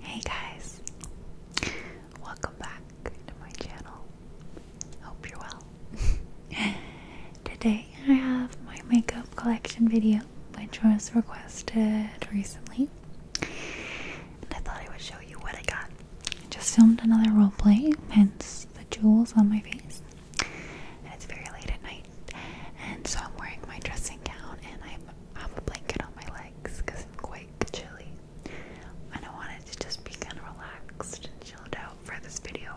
Hey guys, welcome back to my channel. Hope you're well. Today I have my makeup collection video, which was requested recently. And I thought I would show you what I got. I just filmed another role play, hence the jewels on my face. And it's very late at night, and so I'm wearing my dressing gown and I'm I have a blanket on my legs because I'm quite chilly. And I wanted to just be kind of relaxed and chilled out for this video.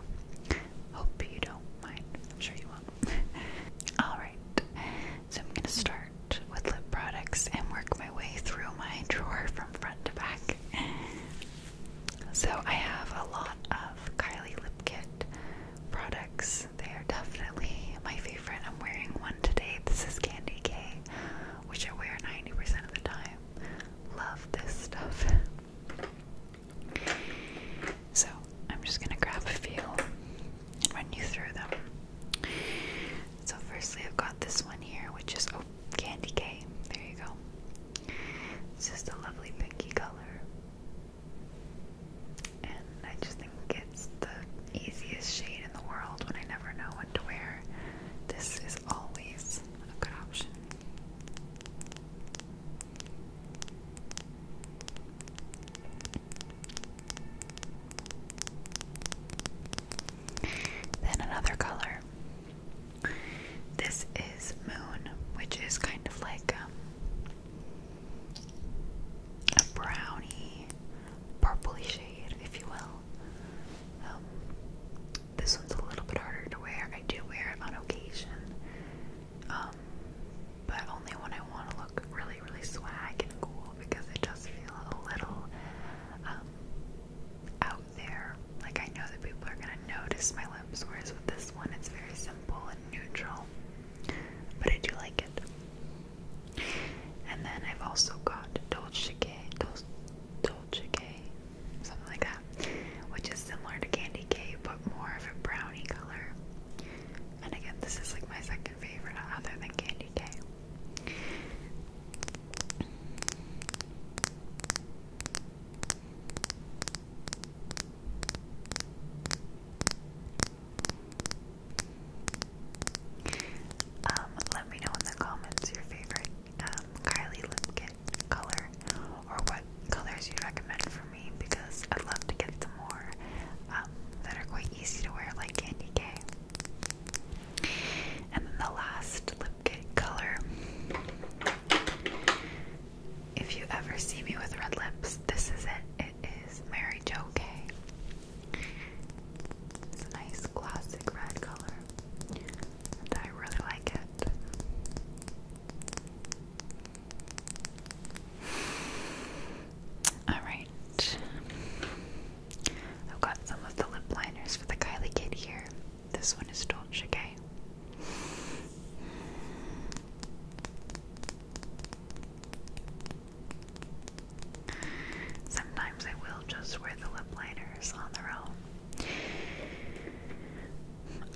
Hope you don't mind. I'm sure you won't. Alright, so I'm going to start with lip products and work my way through my drawer from front to back. So I have a lot of Kylie Lip Kit products they are definitely my favorite. I'm wearing one today. This is Candy K, which I wear 90% of the time. Love this stuff. So, I'm just gonna grab a few and run you through them. So, firstly, I've got this one here, which is oh, Candy K. There you go. It's just a lovely pinky color and I just think it's the easiest shade in the world when I never know what to wear. This is always a option. Then another color. This is Moon, which is kind of like um, a browny, purpley shade, if you will. Um, this one's a little bit harder to wear. I do wear it on occasion, um, but only when I want to look really, really swag and cool because it does feel a little um, out there. Like I know that people are going to notice my lips, whereas with this one, it's very simple and neutral. But I do like it. And then I've also got Dolce K, Dolce, Dolce K, something like that, which is similar to Candy K but more of a brownie color. And again, this is like my second favorite other than Candy K. Um, let me know in the comments your favorite um, Kylie lip kit color or what colors you recommend for me because I'd love to get some more um, that are quite easy to wear like Candy K. And then the last lip kit color. If you ever see me with red lips, this is it. It is Mary Jo Kay. It's a nice classic red color, I really like it. Alright, I've got some of the lip liners for the Kylie Kid here. This one is Dolce K. Sometimes I will just wear the lip liners on their own.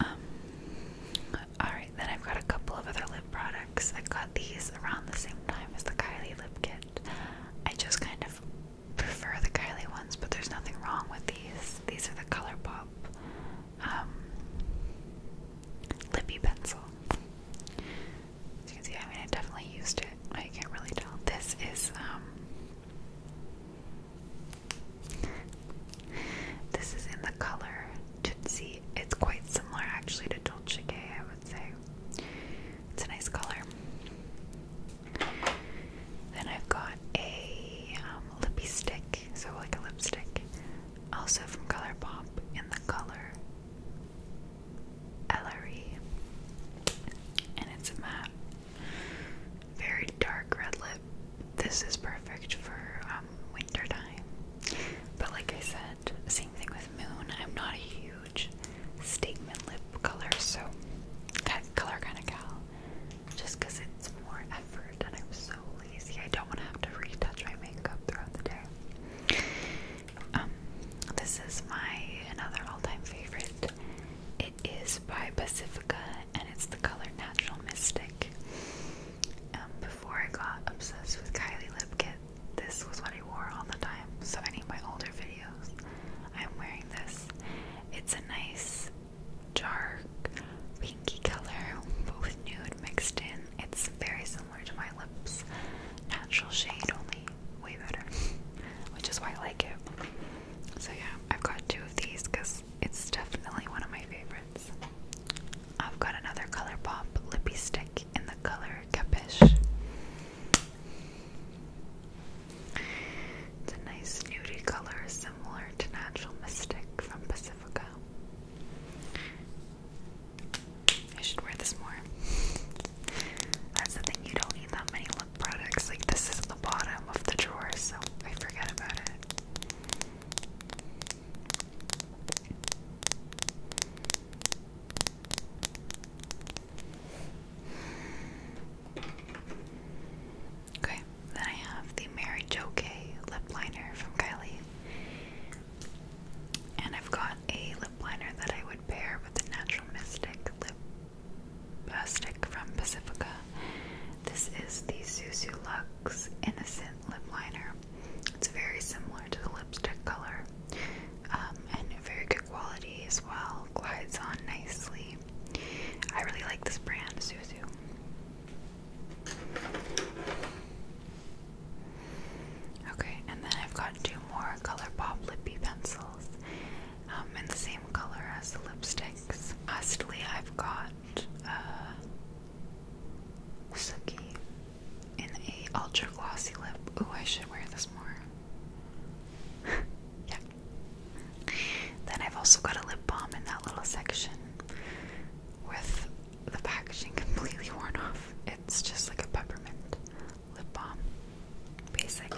Um, alright, then I've got a couple of other lip products. I got these around the same time as the Kylie lip kit. I just kind of prefer the Kylie ones, but there's nothing wrong with these. These are the ColourPop um, Lippy Pencil. As you can see, I mean, I definitely used it. I can't really tell. This is, um, this is in the color Tootsie. It's quite similar, actually, to Dolce I would say. It's a nice color. Then I've got a um, lippy stick, so like a lipstick also from ColourPop in the color Ellery. And it's a matte, very dark red lip. This is perfect for um, winter time. But like I said, same thing with Moon. I'm not a huge statement lip color, so that color kind of gal. Just because it's more effort, and I'm so lazy. I don't want to have to retouch my makeup throughout the day. Um, this is my another all-time favorite. It is by Pacifica, and it's the color Natural Mystic. Um, before I got obsessed with Kylie Lip Kit, this was what I wore all the time. So any of my older videos, I'm wearing this. It's a nice dark pinky color, but with nude mixed in. It's very similar to my lips. Natural shade only, way better, which is why I like it. So yeah, I've got two of these because it's definitely one of my favorites. I've got another ColourPop lippy stick in the color Capiche. It's a nice nudie color similar to Natural Mystic from Pacifica. I should wear this more. That's the thing, you don't need that many lip products. Like, this is the bottom of the drawer, so I forget about it. Okay, then I have the Mary Jo lip liner from Kylie. And I've got a lip liner that I would pair with the Natural Mystic lip uh, from Pacifica. This is the Suzu Lux Innocent Lip Liner. It's very similar to the lipstick color um, and very good quality as well. Glides on nicely. I really like this brand, Suzu. Okay, and then I've got two more ColourPop lippy pencils um, in the same color as the lipsticks. Lastly, I've got uh, Suki in a ultra glossy lip. Oh, I should wear this more. yeah. Then I've also got a lip balm in that little section with the packaging completely worn off. It's just like a peppermint lip balm, basic.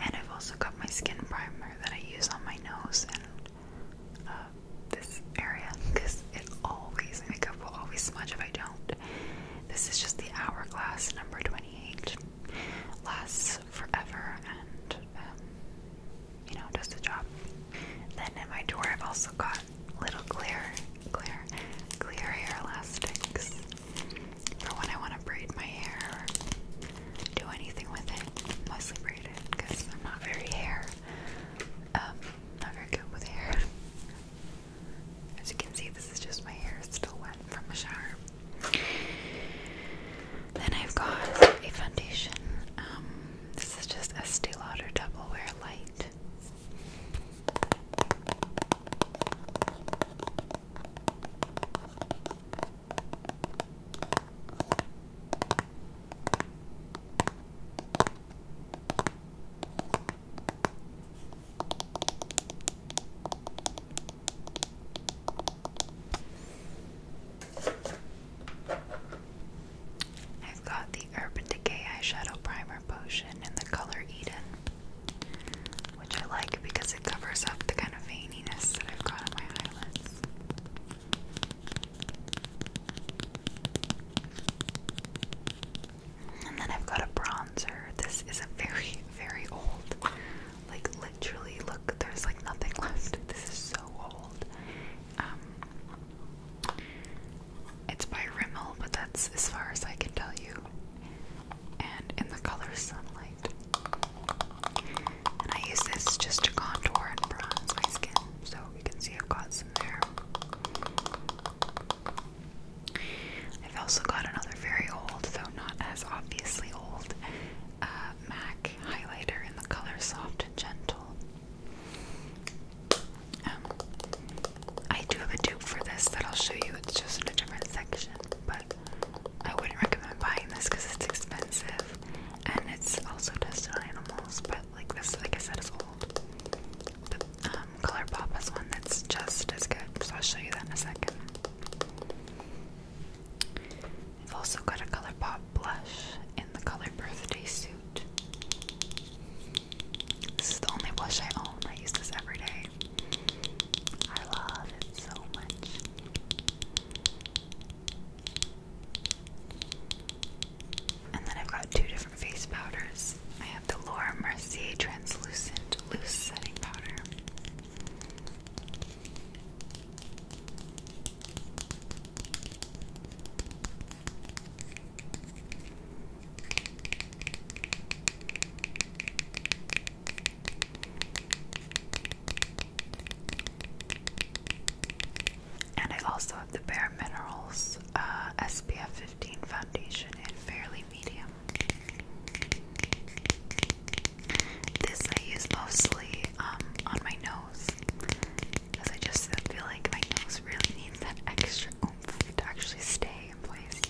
And I've also got my skin primer that I use on my nose and uh, this area because it always, makeup will always smudge if I don't. This is just the Hourglass number 28. Lasts forever and um, you know, does the job. Then in my drawer, I've also got little clear, clear, clear hair elastics for when I want to braid my hair or do anything with it. Mostly braid it because I'm not very hair, um, not very good with hair. As you can see, this is just my hair. still wet from the shower. Then I've got a foundation. Um, this is just Estee Lauder Wear Light. I've got the Urban Decay Eyeshadow Primer Potion in the color Eden, which I like because it covers up the kind of veininess that I've got on my eyelids. And then I've got a bronzer. This is a very, very old. Like, literally, look, there's like nothing left. This is so old. Um, it's by Rimmel, but that's as far as I can tell you. And in the color sunlight. And I use this just to contour and bronze my skin, so you can see I've got some there. I've also got another very old, though not as obviously old, uh, MAC highlighter in the color Soft and Gentle. Um, I do have a dupe for this that I'll show you. It's just in a different section, but I wouldn't recommend buying this because it's expensive and it's also tested on animals. But like this, like I said, is old. But um, has one that's just as good, so I'll show you that in a second. I've also got a ColourPop blush in the color birthday suit. This is the only blush I own. I use this every day. I love it so much. And then I've got two different face powders. I have the Laura Mercier Translucent Loose Setting Powder. And I also have the Bare Minerals uh, SPF 15 foundation in Fairly Medium. This I use mostly um, on my nose because I just feel like my nose really needs that extra oomph to actually stay in place.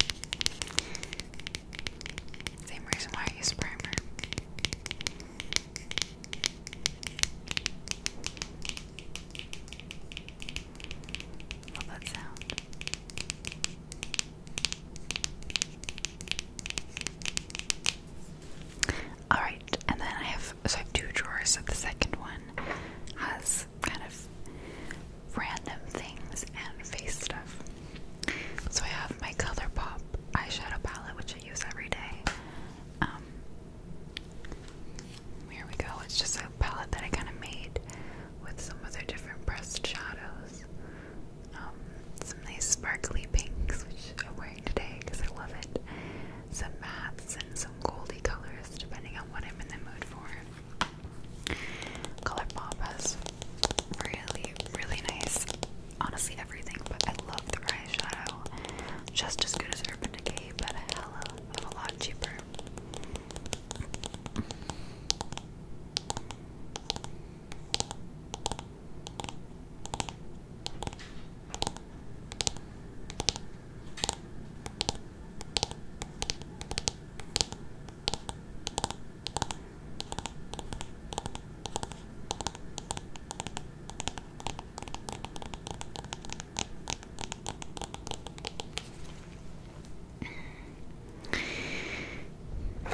Same reason why I use primer. Love that sound. Alright, and then I have so I have two drawers, so the second one has kind of random things and face stuff. So I have my color pop eyeshadow palette which I use every day. Um here we go, it's just a palette that I kinda made with some other different pressed shadows. Um, some nice sparkly pinks, which I'm wearing today because I love it. Some mattes and some goldy colors, depending on what I'm in the mood for. Colourpop has really, really nice, honestly everything, but I love the eyeshadow. Just as good as Urban Decay, but a hell of a lot cheaper.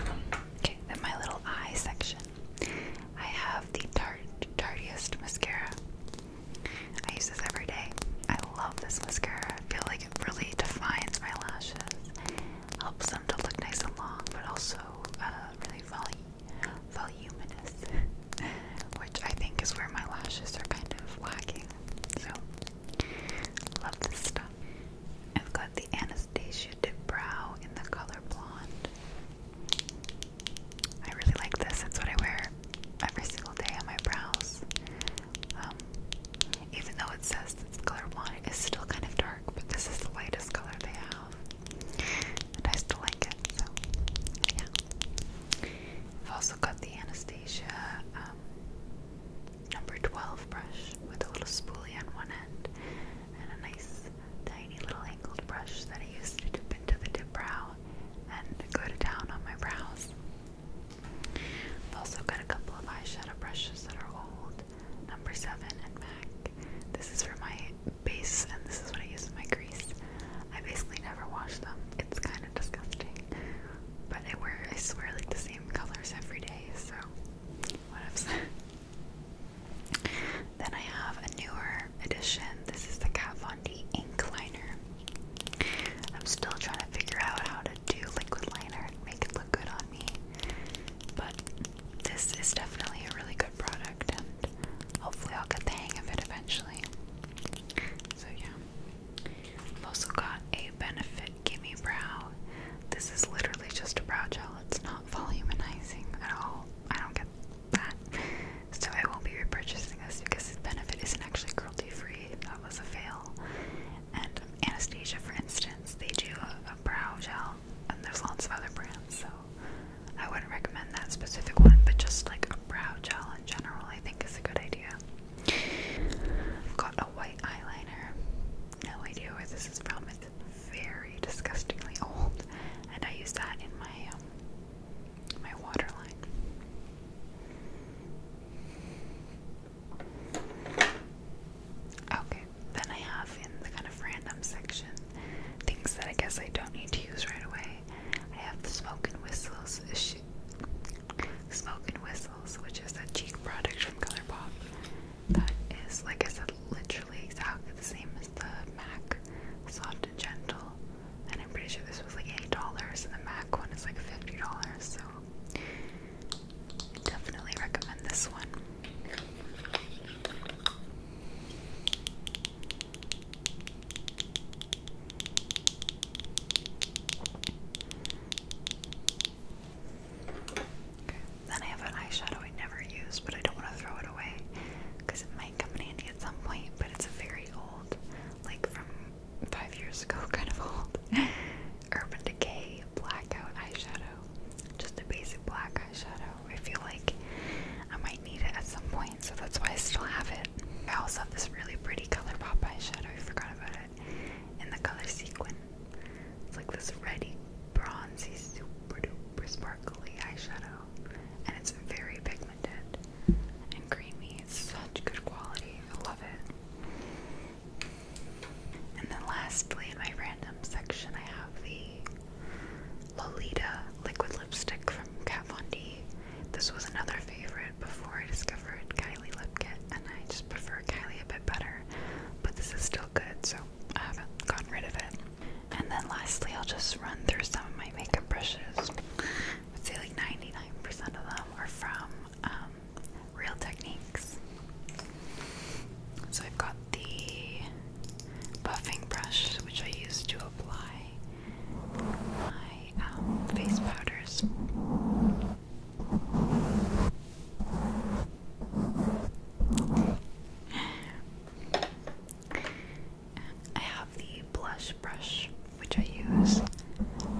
Okay, my little eye section. I have the Tarte Tartiest mascara. I use this every day. I love this mascara. I feel like it really defines my lashes. Helps them to look nice and long, but also uh, really voluminous, which I think is where my lashes are kind of lacking. So, love this stuff. I've got the Anastasia Dip Brow in the color blonde. I really like this. That's what I wear every single day on my brows. Um, even though it says it's color one, it's still kind of dark, but this is the lightest color they have. And I still like it, so yeah. I've also got the Anastasia um, number 12 brush with a little spoolie on one end and a nice tiny little angled brush that I use to dip into the dip brow and go to on my brows. I've also got a couple of eyeshadow brushes that are old, number 7 and MAC. This is for my base and this is what I use in my grease. I basically never wash them. It's kind of disgusting. But I wear I swear like the same colors every day, so what if Then I have a newer edition. This is the Kat Von D ink liner. I'm still trying to figure out how to do liquid liner and make it look good on me. But this is definitely a really good product and hopefully I'll get the hang of it eventually. So yeah. I've also got a Benefit Gimme Brow. This is literally just a brow gel. It's not not voluminizing at all. I don't get that. So I won't be repurchasing this because benefit isn't actually cruelty free. That was a fail. And Anastasia, for instance, they do a, brow gel, and there's lots of other brands, so I wouldn't recommend that specific one, but just like a brow gel in general, I think is a good idea. got a white eyeliner no idea where this is from. It's very disgustingly old, and I use that in my um, my water Okay, then I have in the kind of random section things that I guess I don't need to use right away. I have the Smoke and Whistles Smoke and Whistles, which is a cheek product from Colourpop that is, like I said, literally exactly the same as the MAC Soft and Gentle. And I'm pretty sure this was like $8, and the MAC one is like $50, so definitely recommend this one. Then I have an eyeshadow I never use, but I don't want to throw it away because it might come in handy at some point. But it's a very old, like from five years ago, kind of old Urban Decay blackout eyeshadow. Just a basic black eyeshadow. I feel like I might need it at some point, so that's why I still have it. I also have this really pretty color pop eyeshadow. I forgot about it in the color sequin. It's like this ready, bronzy, super duper sparkly eyeshadow, and it's very pigmented and creamy. It's such good quality. I love it. And then lastly, in my random section, I have the Lolita liquid lipstick from Kat Von D. This was another favorite before I discovered Kylie Lip Kit, and I just prefer Kylie a bit better. But this is still good, so I haven't gotten rid of it. And then lastly, I'll just run through some of my makeup brushes. I say like 99% of them are from um, Real Techniques. So I've got the buffing brush, which I use to apply my um, face powders. I have the blush brush, which I use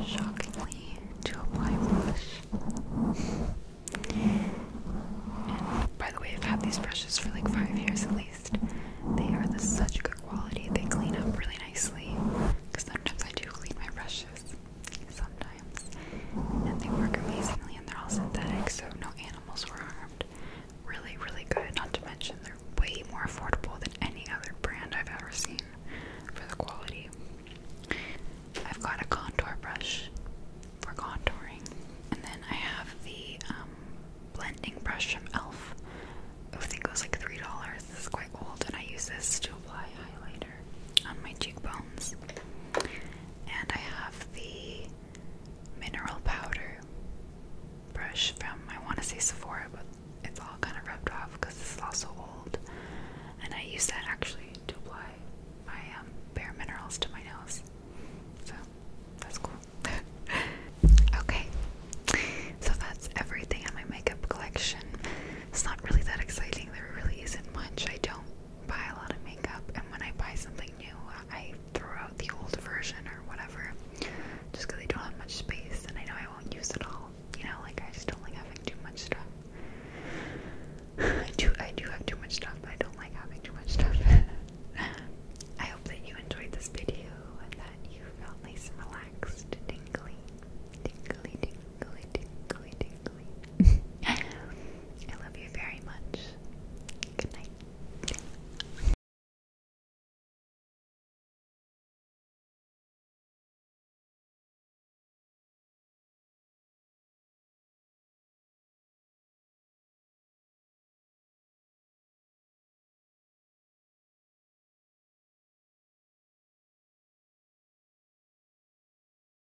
shockingly to apply blush. And by the way, I've had these brushes for like five years at least. They are the such good quality. They clean up really nicely. Because sometimes I do clean my brushes. Sometimes and they work amazingly, and they're all synthetic, so no animals were harmed. Really, really good. Not to mention, they're way more affordable than any other brand I've ever seen for the quality. I've got a contour brush for contouring, and then I have the um, blending brush from e.l.f. I think it was like $3. This is quite old, and I use this to apply highlighter on my cheekbones. And I have the mineral powder brush from I want to say Sephora, but it's all kind of rubbed off because this is also old. And I use that actually to apply my um, bare minerals to my nails. so that's cool. okay, so that's everything in my makeup collection. It's not really that exciting. There really isn't much. I don't buy a lot of makeup, and when I buy something new, I throw out the old version or whatever, just I don't have much space and I know I won't use it all. You know, like I just don't like having too much stuff. I do, I do have too much stuff, but I don't like having too much stuff. I hope that you enjoyed this video that you felt nice and relaxed, tingly, tingly, tingly, tingly, tingly. I love you very much. Good night.